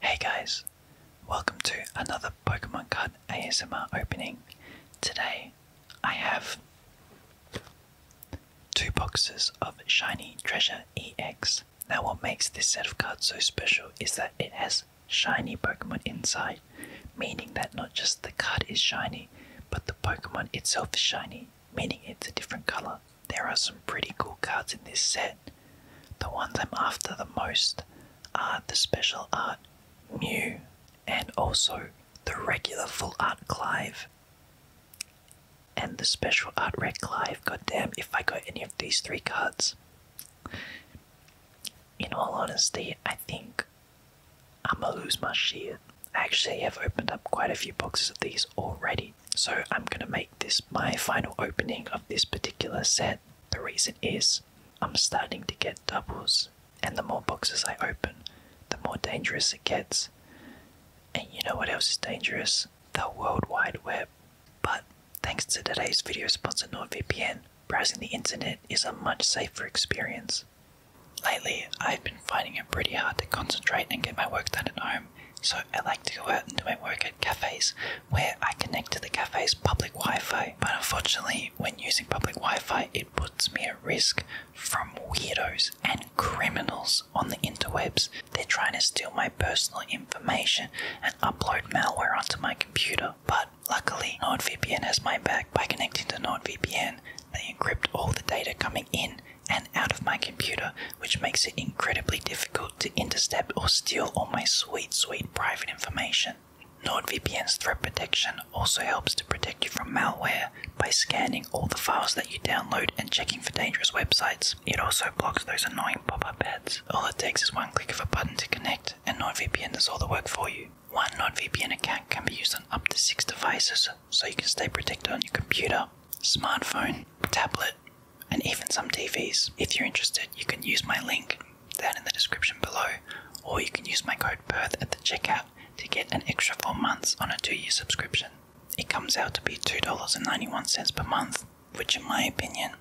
Hey guys, welcome to another Pokemon Card ASMR opening. Today I have two boxes of Shiny Treasure EX. Now, what makes this set of cards so special is that it has shiny Pokemon inside, meaning that not just the card is shiny, but the Pokemon itself is shiny, meaning it's a different color. There are some pretty cool cards in this set. The ones I'm after the most are the special art Mew and also the regular full art Clive. And the special art red Clive, goddamn, if I got any of these three cards. In all honesty, I think I'm gonna lose my shit. I actually have opened up quite a few boxes of these already, so I'm gonna make this my final opening of this particular set. The reason is I'm starting to get doubles, and the more boxes I open, the more dangerous it gets. And you know what else is dangerous? The World Wide Web. But thanks to today's video sponsor NordVPN, browsing the internet is a much safer experience. Lately, I've been finding it pretty hard to concentrate and get my work done at home, so I like to go out and do my work at cafes where I connect to the cafe's public Wi Fi, but unfortunately, when using public Wi Fi, it puts me at risk from weirdos and criminals on the interwebs. They're trying to steal my personal information and upload malware onto my computer, but luckily, NordVPN has my back by connecting to NordVPN. They encrypt all the data coming in and out of my computer, which makes it incredibly difficult to intercept or steal all my sweet, sweet private information. NordVPN's threat protection also helps to protect you from malware by scanning all the files that you download and checking for dangerous websites. It also blocks those annoying pop-up ads. All it takes is one click of a button to connect, and NordVPN does all the work for you. One NordVPN account can be used on up to six devices, so you can stay protected on your computer, smartphone, tablet, and even some TVs. If you're interested, you can use my link down in the description below, or you can use my code BIRTH at the checkout to get an extra 4 months on a 2 year subscription. It comes out to be $2.91 per month, which in my opinion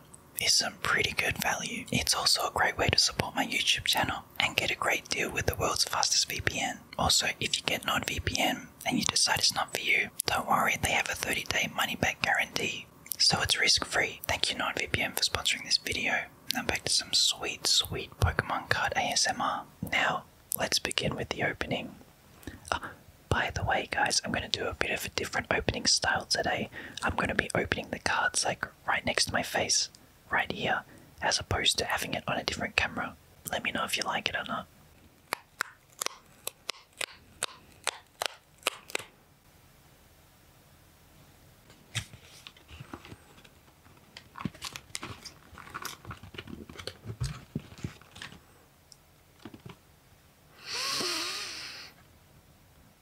is some pretty good value. It's also a great way to support my YouTube channel and get a great deal with the world's fastest VPN. Also, if you get NordVPN and you decide it's not for you, don't worry, they have a 30 day money back guarantee so it's risk free. Thank you, NordVPN, for sponsoring this video. Now back to some sweet, sweet Pokemon card ASMR. Now, let's begin with the opening. Oh, by the way, guys, I'm going to do a bit of a different opening style today. I'm going to be opening the cards like right next to my face, right here, as opposed to having it on a different camera. Let me know if you like it or not.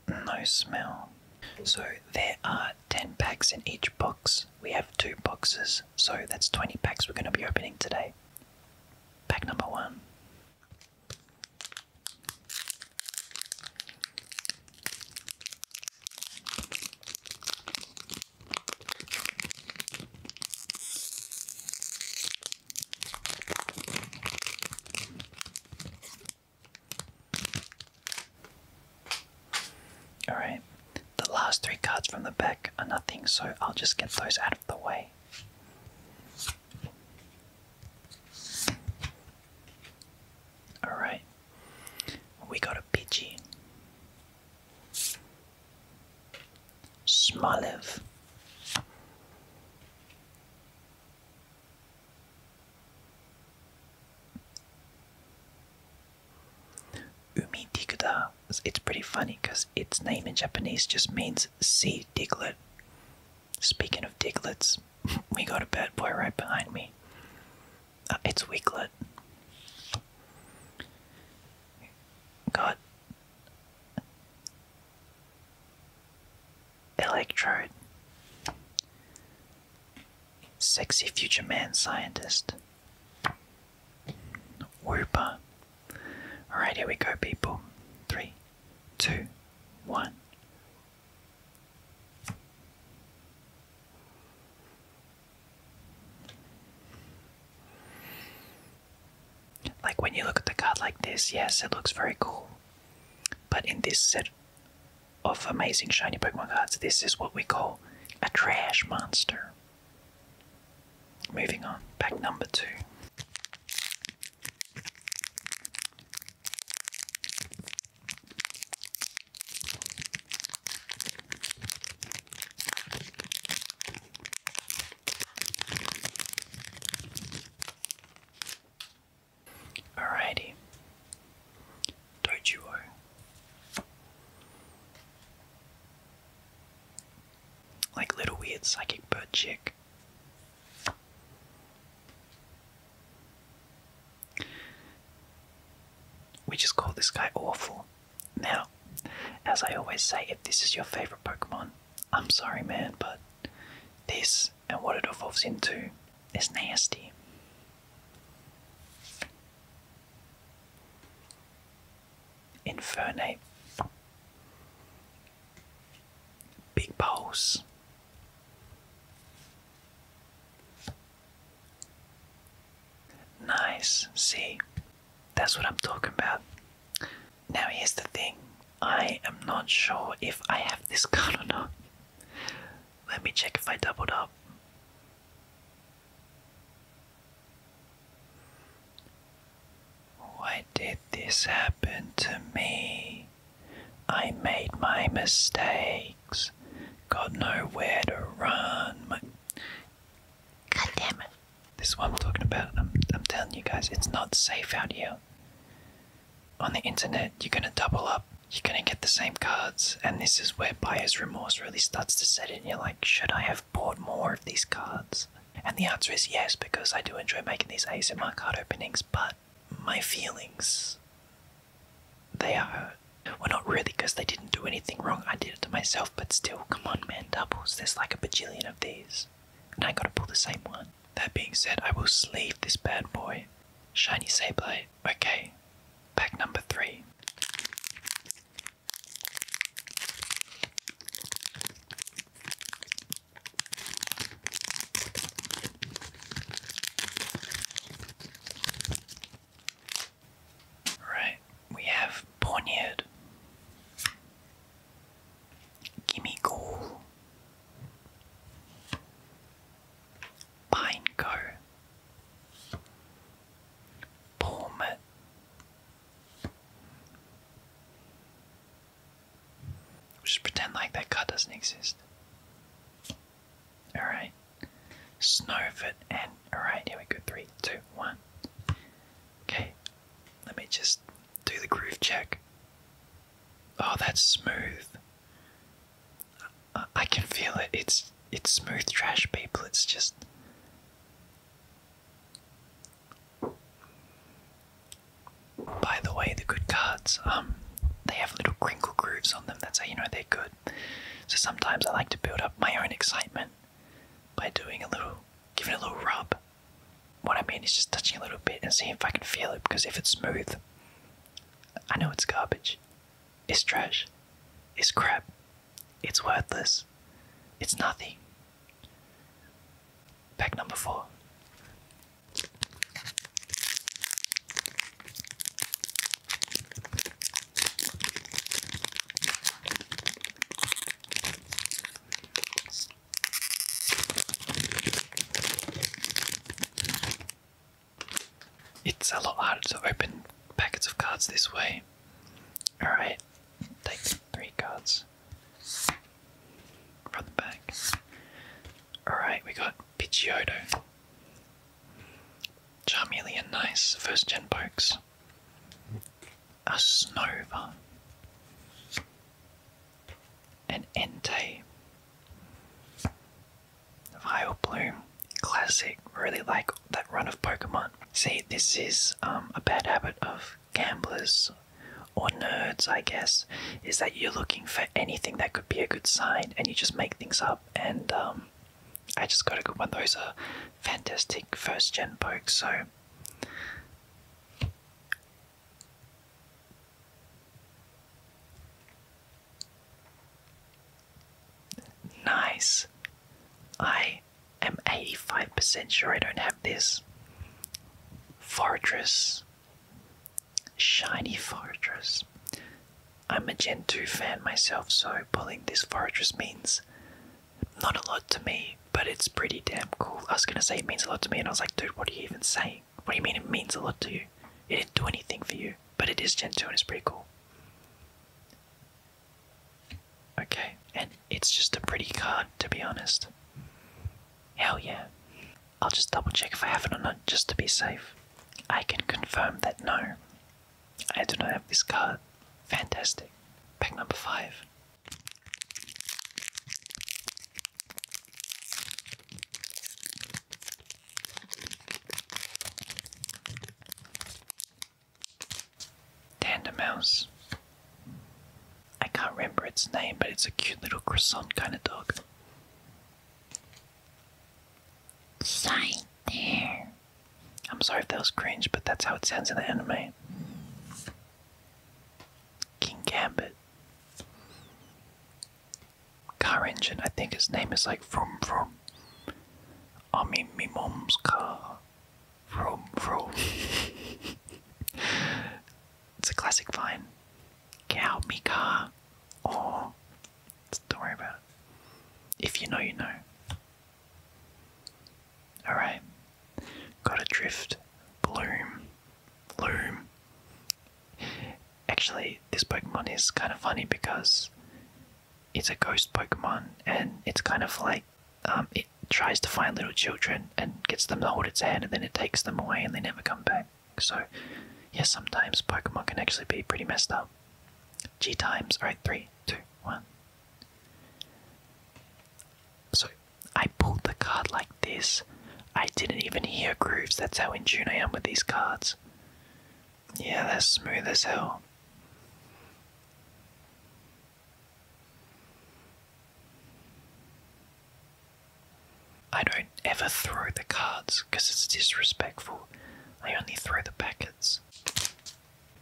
No smell. So there are 10 packs in each box. We have two boxes, so that's 20 packs we're going to be opening today. Pack number one. Alright, the last three cards from the back are nothing, so I'll just get those out the way. Alright, we got a Pidgey. Smalev. Umi Tikuda. It's pretty funny because its name in Japanese just means sea diglet. Speaking of diglets, we got a bad boy right behind me. Uh, it's weaklet. Got Electrode. Sexy future man scientist. Whooper. Alright, here we go, people. Three, two, one. Like when you look at the card like this, yes, it looks very cool. But in this set of amazing shiny Pokemon cards, this is what we call a trash monster. Moving on, back number two. Alrighty, don't you Like little weird psychic bird chick. We just call this guy awful. Now, as I always say, if this is your favorite Pokemon, I'm sorry, man, but this and what it evolves into is nasty. Infernape. Big pose. Nice, see? That's what I'm talking about. Now, here's the thing I am not sure if I have this color. or Let me check if I doubled up. Why did this happen to me? I made my mistakes, got nowhere to run. My... This is what I'm talking about. I'm, I'm telling you guys, it's not safe out here. On the internet, you're gonna double up, you're gonna get the same cards, and this is where buyer's remorse really starts to set in. You're like, should I have bought more of these cards? And the answer is yes, because I do enjoy making these ace in my card openings, but my feelings, they are, well not really because they didn't do anything wrong, I did it to myself, but still, come on man, doubles, there's like a bajillion of these, and I gotta pull the same one. That being said, I will sleeve this bad boy. Shiny Sableye, okay, pack number three. Right, we have poniard, Gimme Ghoul. Pineco. Palmet. Just pretend like that car doesn't exist. Alright. Snowfit and alright, here we go. Three, two, one. Okay. Let me just do the groove check. Oh, that's smooth. I, I can feel it. It's it's smooth trash people. It's just by the way, the good cards, um, they have little crinkle grooves on them. That's how you know they're good. So sometimes I like to build up my own excitement by doing a little, giving a little rub. What I mean is just touching a little bit and seeing if I can feel it. Because if it's smooth, I know it's garbage, it's trash, it's crap, it's worthless, it's nothing. Pack number four. It's a lot harder to open packets of cards this way. Alright, take three cards. From the back. Alright, we got Pidgeotto. Charmeleon, nice. First gen pokes. A Snova. An Entei. Vileplume. Classic. Really like that run of Pokemon. See, this is um, a bad habit of gamblers or nerds, I guess, is that you're looking for anything that could be a good sign and you just make things up. And um, I just got a good one. Those are fantastic first gen pokes. So. Nice. I am 85% sure I don't have this. Fortress. Shiny Fortress. I'm a gentoo fan myself, so pulling this Fortress means not a lot to me, but it's pretty damn cool. I was gonna say it means a lot to me, and I was like, dude, what are you even saying? What do you mean it means a lot to you? It didn't do anything for you, but it gentoo and it's pretty cool. Okay, and it's just a pretty card, to be honest. Hell yeah. I'll just double check if I have it or not, just to be safe. I can confirm that no, I do not have this card. Fantastic. Pack number five. Tandem I can't remember its name, but it's a cute little croissant kind of dog. Sign there. I'm sorry if that was cringe, but that's how it sounds in the anime. King Gambit. Car engine, I think his name is like Vroom Vroom. I'm my mom's car. Vroom Vroom. it's a classic vine. Cow Mika don't worry about it. If you know you know. Alright. Got a drift. Bloom. Bloom. Actually, this Pokemon is kind of funny because it's a ghost Pokemon and it's kind of like um, it tries to find little children and gets them to hold its hand and then it takes them away and they never come back. So, yeah, sometimes Pokemon can actually be pretty messed up. G times, alright, three, two, one. So, I pulled the card like this. I didn't even hear grooves, that's how in tune I am with these cards. Yeah, they're smooth as hell. I don't ever throw the cards because it's disrespectful. I only throw the packets.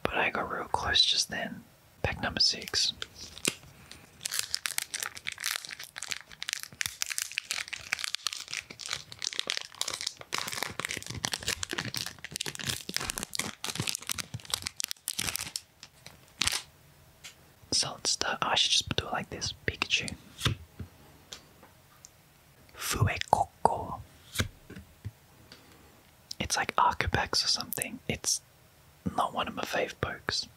But I got real close just then. Pack number six. So let's Oh, I should just do it like this Pikachu. Fuekoko. It's like Archibex or something. It's not one of my favourite pokes.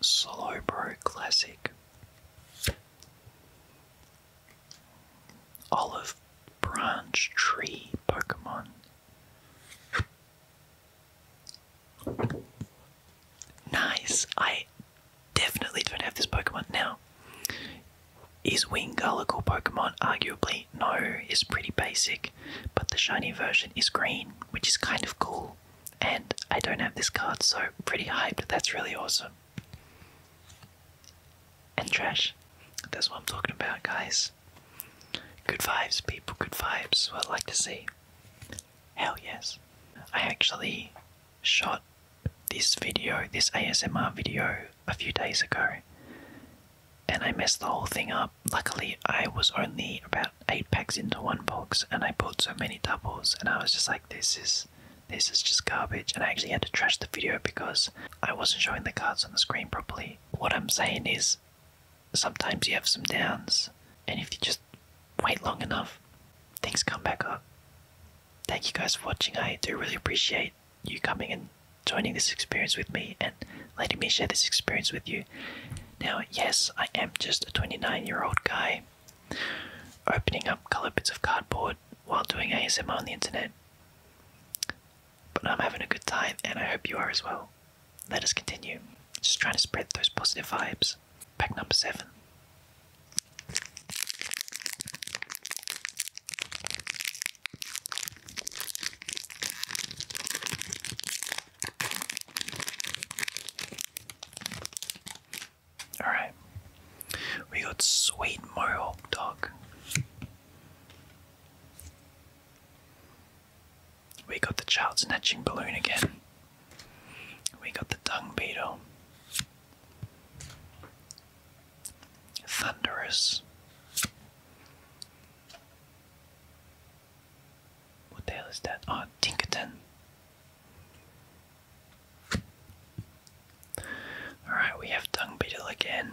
Slowbro Classic. Olive Branch Tree Pokemon. Nice. I definitely don't have this Pokemon now. Is Wingull a cool Pokemon? Arguably, no. It's pretty basic, but the shiny version is green, which is kind of cool. And I don't have this card, so pretty hyped. That's really awesome. And trash. That's what I'm talking about, guys. Good vibes, people, good vibes. What I'd like to see. Hell yes. I actually shot this video, this ASMR video, a few days ago, and I messed the whole thing up. Luckily, I was only about eight packs into one box, and I bought so many doubles, and I was just like, this is. This is just garbage, and I actually had to trash the video because I wasn't showing the cards on the screen properly. What I'm saying is, sometimes you have some downs, and if you just wait long enough, things come back up. Thank you guys for watching. I do really appreciate you coming and joining this experience with me and letting me share this experience with you. Now, yes, I am just a 29 year old guy opening up colored bits of cardboard while doing ASMR on the internet. But I'm having a good time and I hope you are as well. Let us continue. Just trying to spread those positive vibes. Pack number seven. Alright. We got sweet Mohawk dog. We got the child snatching balloon again. We got the dung beetle. Thunderous. What the hell is that? Oh, Tinkerton. Alright, we have dung beetle again.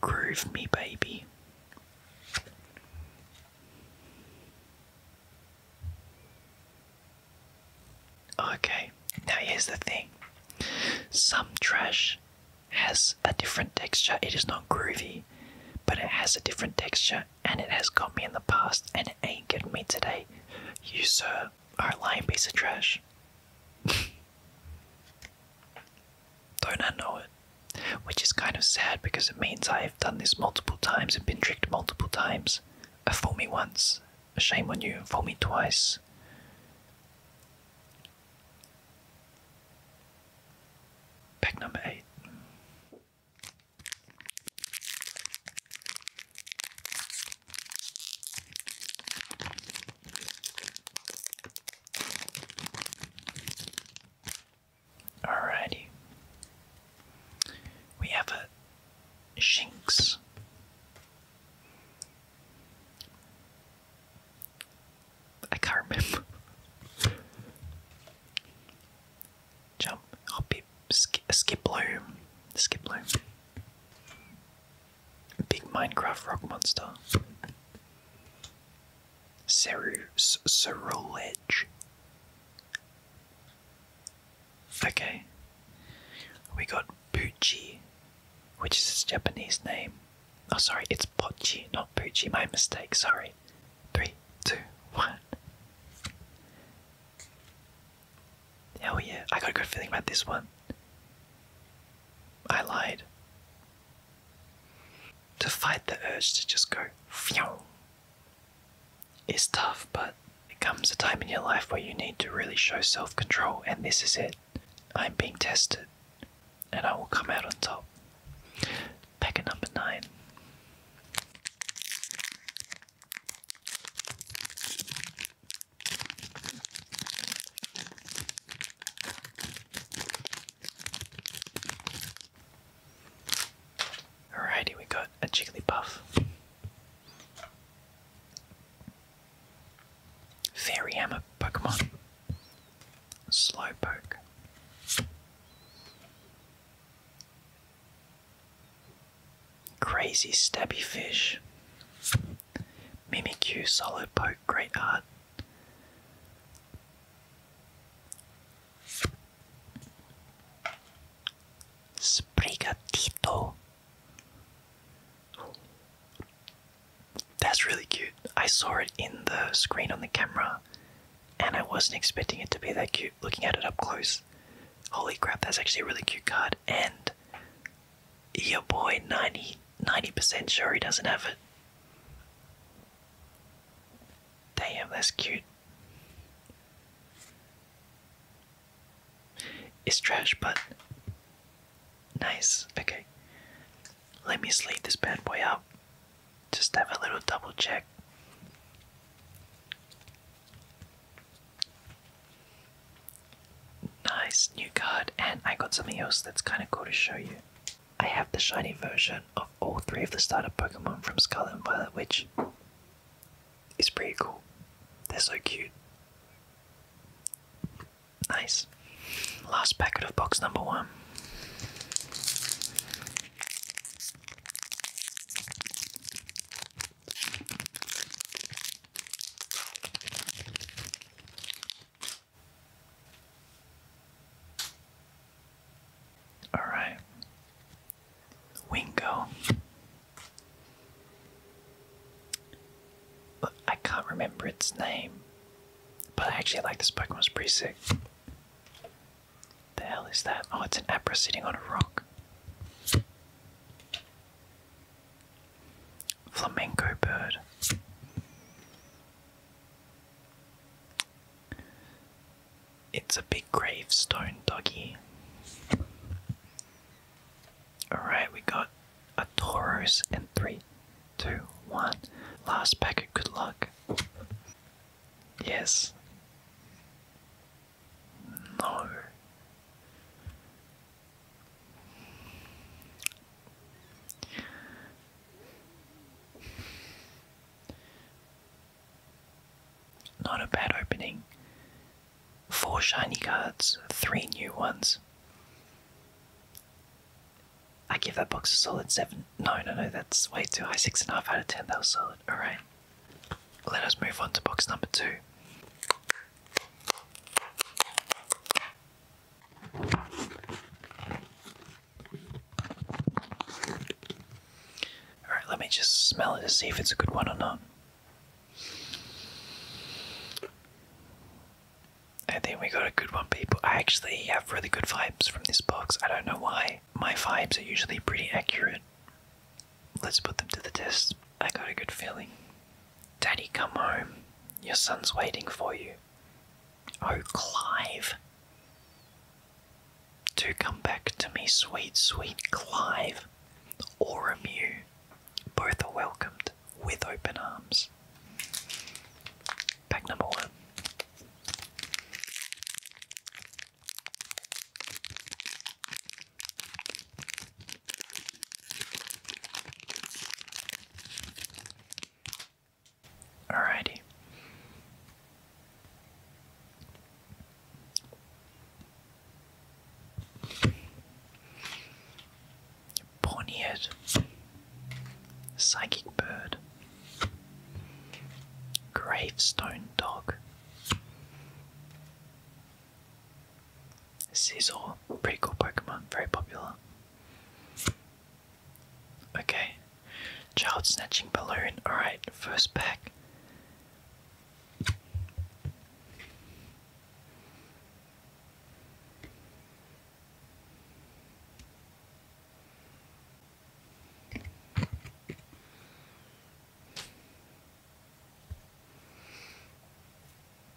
Groove me, baby. Okay, now here's the thing some trash has a different texture, it is not groovy, but it has a different texture, and it has got me in the past, and it ain't got me today. You, sir, are a lying piece of trash. Don't I know it? Which is kind of sad because it means I have done this multiple times and been tricked multiple times. A fool me once, a shame on you, fool me twice. Pack number eight. Alrighty. We have a Shinx. I can't remember. Jump, hop, skip, skip bloom, skip bloom. Big Minecraft rock monster. Cerulege. Okay. We got Buchi, which is his Japanese name. Oh, sorry, it's Pochi, not Buchi. My mistake, sorry. Three, two, one. Hell yeah, I got a good feeling about this one. I lied. To fight the urge to just go fyow is tough, but it comes a time in your life where you need to really show self control, and this is it. I'm being tested, and I will come out on top. Packet number nine. Alrighty, we got a Jigglypuff. Fairy Hammer Pokemon. Slowpoke. Crazy Stabby Fish. Mimikyu, solo poke, great art. Sprigatito. That's really cute. I saw it in the screen on the camera and I wasn't expecting it to be that cute looking at it up close. Holy crap, that's actually a really cute card. And your boy 90 90% sure he doesn't have it. Damn, that's cute. It's trash, but nice. Okay. Let me sleeve this bad boy out. Just have a little double check. Nice new card, and I got something else that's kind of cool to show you. I have the shiny version of all three of the starter Pokemon from Scarlet and Violet, which is pretty cool. They're so cute. Nice. Last packet of box number one. All right. Wingo. Look, I can't remember its name, but I actually like this Pokemon. It's pretty sick. The hell is that? Oh, it's an Abra sitting on a rock. Flamenco bird. It's a big gravestone, doggy. Alright, we got a Tauros and three, two, one. Last packet, good luck. Yes. No. Not a bad opening. Four shiny cards, three new ones. I give that box a solid 7. No, no, no, that's way too high. 6.5 out of 10, that was solid. Alright. Let us move on to box number 2. Alright, let me just smell it to see if it's a good one or not. I think we got a good one, people. I actually have really good vibes from this box. I don't know why. My vibes are usually pretty accurate. Let's put them to the test. I got a good feeling. Daddy, come home. Your son's waiting for you. Oh, Clive. Do come back to me, sweet, sweet Clive, or Emu. Both are welcomed with open arms. Pack number one. Alrighty. Borneo's Psychic Bird, Gravestone Dog, Scizor, pretty cool Pokemon, very popular. Okay. Child snatching balloon. Alright, first pack.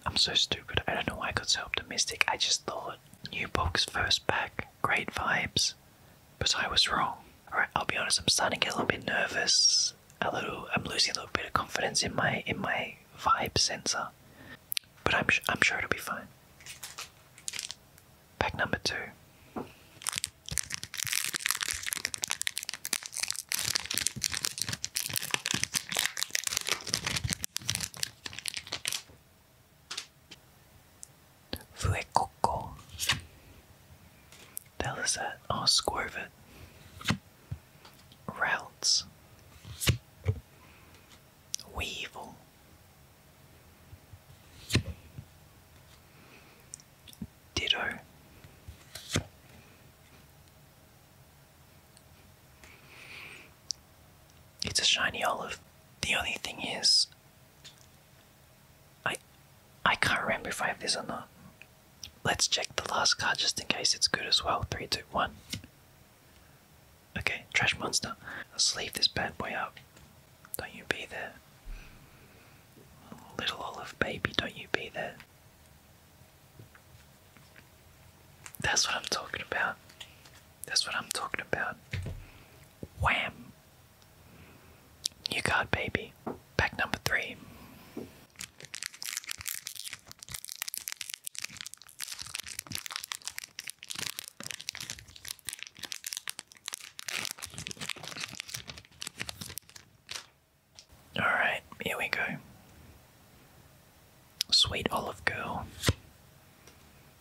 I'm so stupid. I don't know why I got so optimistic. I just thought new box first pack, great vibes, but I was wrong. All right, I'll be honest. I'm starting to get a little bit nervous. A little. I'm losing a little bit of confidence in my in my vibe sensor. But I'm I'm sure it'll be fine. Pack number two. Fuecoco. The hell is that? Oh, Weevil. Ditto. It's a shiny olive. The only thing is I I can't remember if I have this or not. Let's check the last card just in case it's good as well. Three, two, one. Okay, trash monster. I'll leave this bad boy up. Don't you be there. Little olive baby, don't you be there. That's what I'm talking about. That's what I'm talking about. Wham! New card, baby. Pack number three. Alright, here we go. Sweet Olive Girl.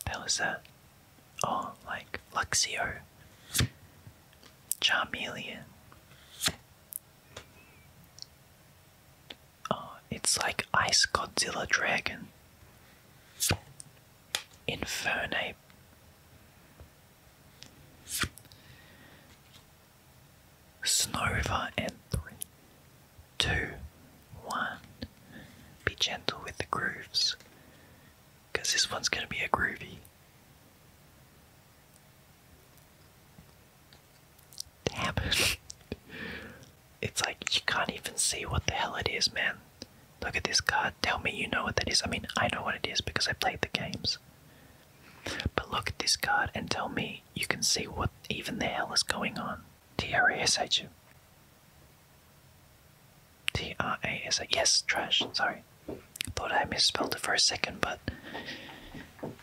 That was a Oh, like Luxio. Charmeleon. Oh, it's like Ice Godzilla Dragon. Infernape. Snova and three two, one. Be gentle with the grooves, because this one's going to be a groovy. Damn it's like you can't even see what the hell it is, man. Look at this card. Tell me you know what that is. I mean, I know what it is because I played the games. But look at this card and tell me you can see what even the hell is going on. T-R-A-S-H. T-R-A-S-H. Yes, trash. Sorry. Thought I misspelled it for a second, but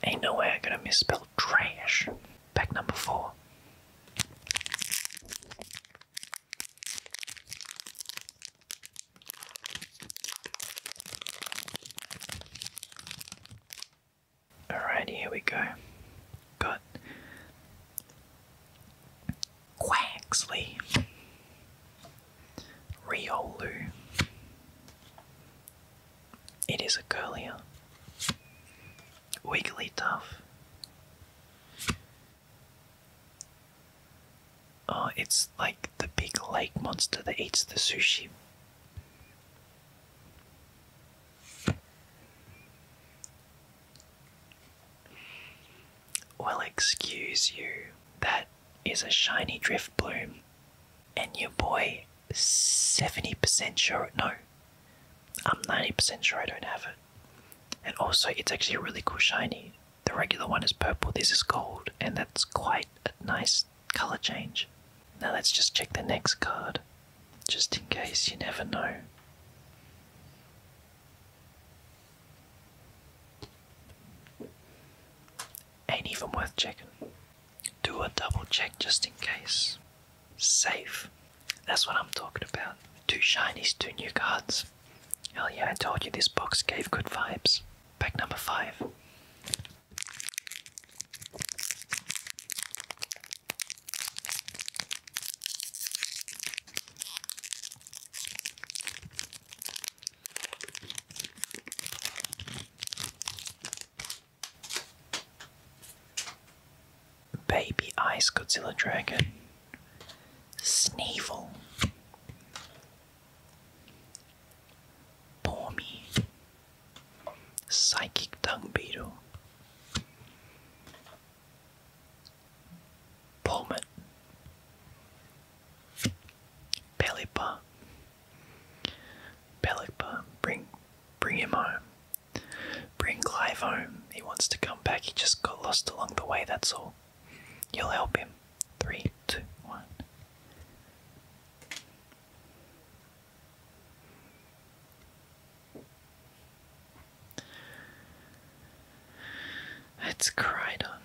ain't no way I'm gonna misspell trash. Pack number four. Alright, here we go. Got Quaxley, Riolu. It is a curlier. Wigglytuff. Oh, it's like the big lake monster that eats the sushi. Well, excuse you, that is a shiny drift bloom, and your boy 70% sure no, I'm 90% sure I don't have it. And also, it's actually a really cool shiny. The regular one is purple, this is gold, and that's quite a nice color change. Now, let's just check the next card just in case you never know. Ain't even worth checking. Do a double check just in case. Safe. That's what I'm talking about. Two shinies, two new cards. Hell yeah, I told you this box gave good vibes. Pack number five. Baby Ice Godzilla Dragon, Sneevil, Bormy, Psychic Dung Beetle. Pullman. Pelipper. Pelipper, bring bring him home. Bring Clive home. He wants to come back. He just got lost along the way, that's all. You'll help him. Three, two, one. It's Kryna.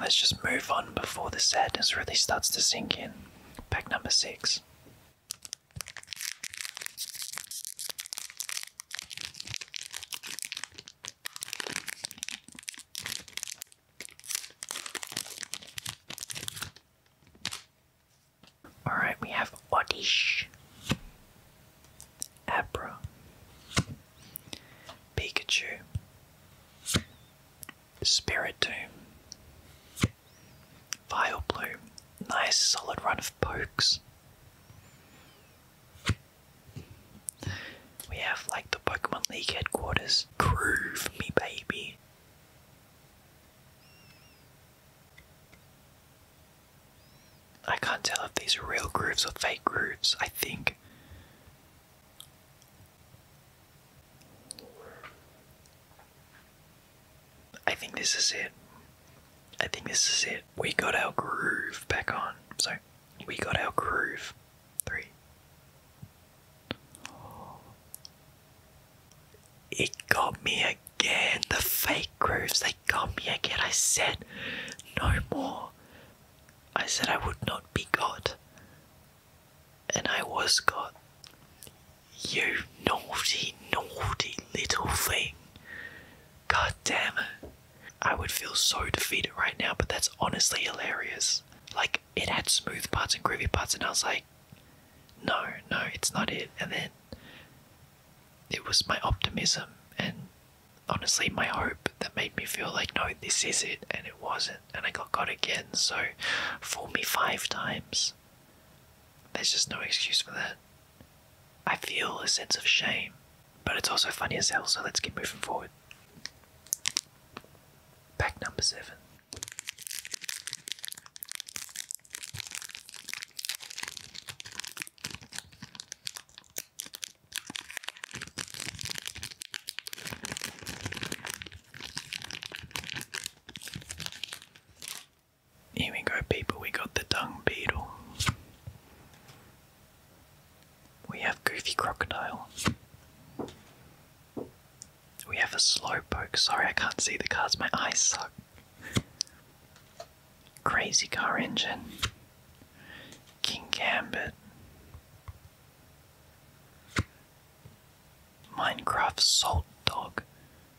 Let's just move on before the sadness really starts to sink in. Pack number six. Alright, we have Oddish, Abra, Pikachu, Spiritomb, Vileplume. Nice solid run of pokes. We have like the Pokemon League headquarters. Groove me, baby. I can't tell if these are real grooves or fake grooves, I think. I think this is it. I think this is it. We got our groove back on. Sorry, we got our groove. Three. It got me again. The fake grooves, they got me again. I said no more. I said I would not be got. And I was got. You naughty, naughty little thing. God damn it. I would feel so defeated right now, but that's honestly hilarious. Like, it had smooth parts and groovy parts, and I was like, no, no, it's not it. And then it was my optimism and honestly my hope that made me feel like, no, this is it. And it wasn't. And I got caught again. So fool me five times. There's just no excuse for that. I feel a sense of shame, but it's also funny as hell. So let's keep moving forward. Pack number seven. Here we go, people. We got the dung beetle. We have Goofy Crocodile. We have a Slowpoke. Sorry, I can't see the cards. My eyes suck. Crazy Car Engine, King Gambit, Minecraft Salt Dog,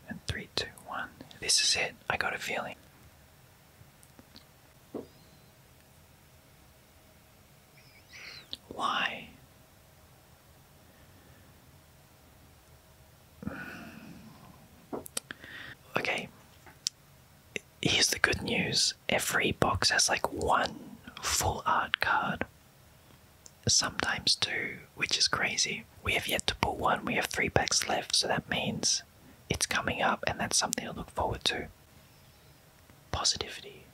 and 321. This is it, I got a feeling. Why? Okay. Here's the good news every box has like one full art card, sometimes two, which is crazy. We have yet to pull one, we have three packs left, so that means it's coming up, and that's something to look forward to. Positivity.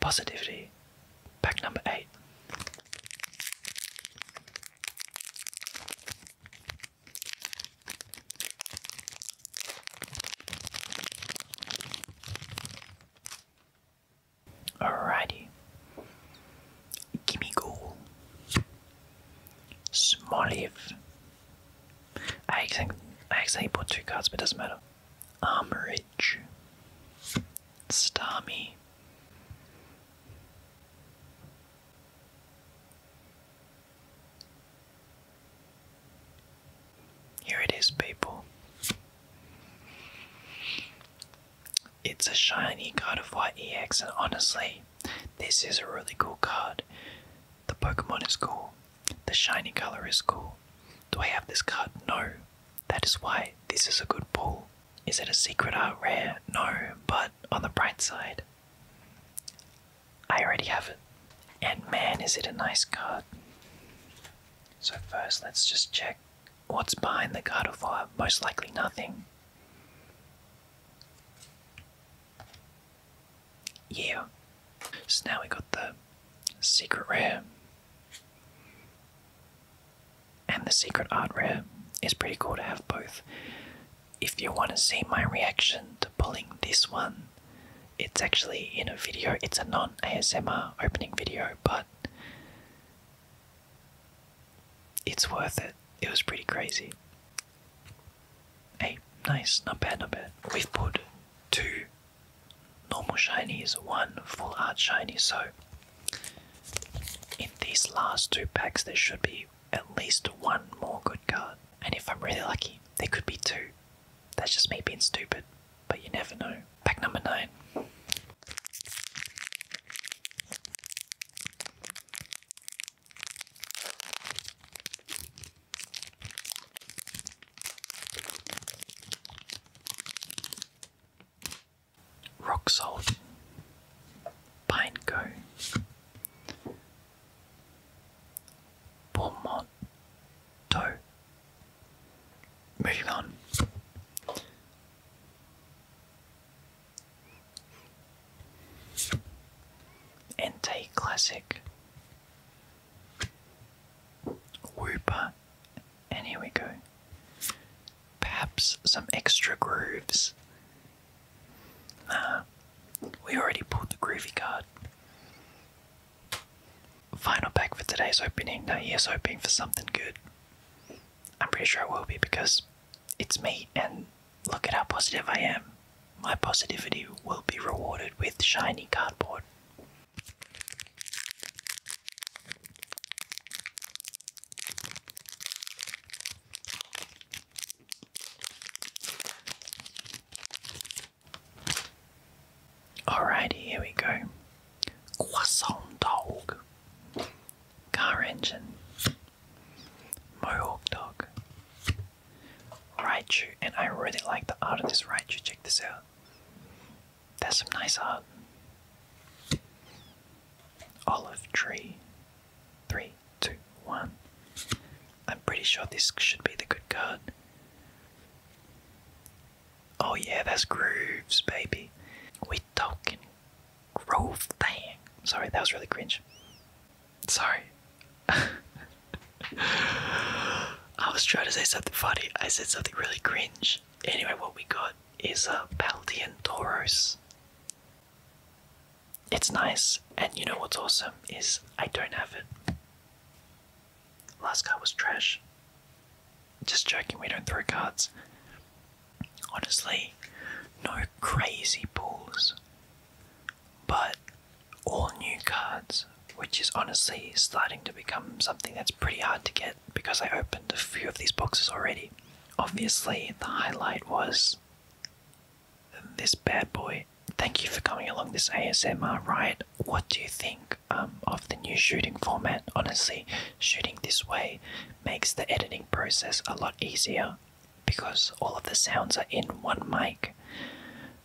Positivity. Pack number eight. Alrighty. Gimme Ghoul. Smoliv. I actually, I actually bought two cards, but it doesn't matter. Armorage. Starmie. Here it is, people. It's a shiny card of White EX, and honestly, this is a really cool card. The Pokemon is cool, the shiny color is cool. Do I have this card? No. That is why this is a good pull. Is it a secret art rare? No, but on the bright side, I already have it. And man, is it a nice card. So, first, let's just check what's behind the card of fire. Most likely nothing. Yeah. So now we got the secret rare and the secret art rare is pretty cool to have both. If you want to see my reaction to pulling this one, it's actually in a video. It's a non ASMR opening video, but it's worth it. It was pretty crazy. Hey, nice, not bad, not bad. We've put two normal shinies, one full art shiny, so in these last two packs, there should be at least one more good card. And if I'm really lucky, there could be two. That's just me being stupid, but you never know. Pack number nine rock salt, pineco, palmetto. Moving on. Ente Classic, Whooper and here we go. Perhaps some extra grooves. Nah, we already pulled the groovy card. Final pack for today's opening. Now, here's hoping for something good. I'm pretty sure it will be because it's me, and look at how positive I am. My positivity will be rewarded with shiny cardboard. Alrighty, here we go. Croissant dog, car engine, mohawk dog, Raichu, and I really like the art of this Raichu. Check this out. That's some nice art. Uh, olive tree. Three, two, one. I'm pretty sure this should be the good card. Oh yeah, that's grooves, baby. We talking groove thing. Sorry, that was really cringe. Sorry. I was trying to say something funny. I said something really cringe. Anyway, what we got is a Paldean Tauros. It's nice, and you know what's awesome is I don't have it. Last card was trash. Just joking, we don't throw cards. Honestly, no crazy pulls. But all new cards, which is honestly starting to become something that's pretty hard to get because I opened a few of these boxes already. Obviously, the highlight was this bad boy. Thank you for coming along this ASMR ride. What do you think um, of the new shooting format? Honestly, shooting this way makes the editing process a lot easier because all of the sounds are in one mic.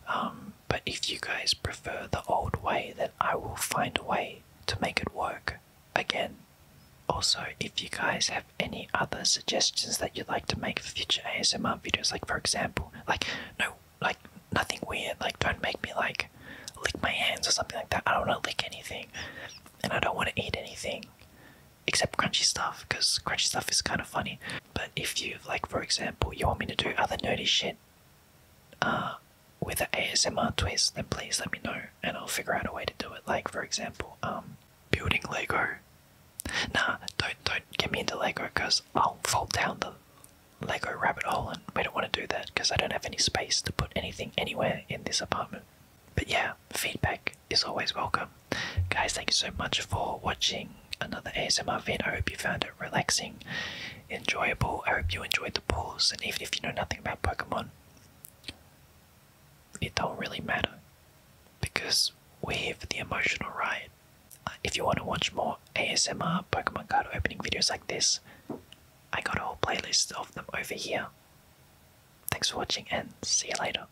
Um, but if you guys prefer the old way, then I will find a way to make it work again, also, if you guys have any other suggestions that you'd like to make for future ASMR videos, like for example, like no, like nothing weird, like don't make me like lick my hands or something like that. I don't want to lick anything, and I don't want to eat anything except crunchy stuff because crunchy stuff is kind of funny. But if you like, for example, you want me to do other nerdy shit, uh, with an ASMR twist, then please let me know and I'll figure out a way to do it. Like for example, um, building Lego. Nah, don't don't get me into Lego because I'll fall down the Lego rabbit hole, and we don't want to do that because I don't have any space to put anything anywhere in this apartment. But yeah, feedback is always welcome. Guys, thank you so much for watching another ASMR vid. I hope you found it relaxing, enjoyable. I hope you enjoyed the pulls, and even if you know nothing about Pokemon, it don't really matter because we're here for the emotional ride. Uh, if you want to watch more ASMR Pokemon card opening videos like this, I got a whole playlist of them over here. Thanks for watching and see you later.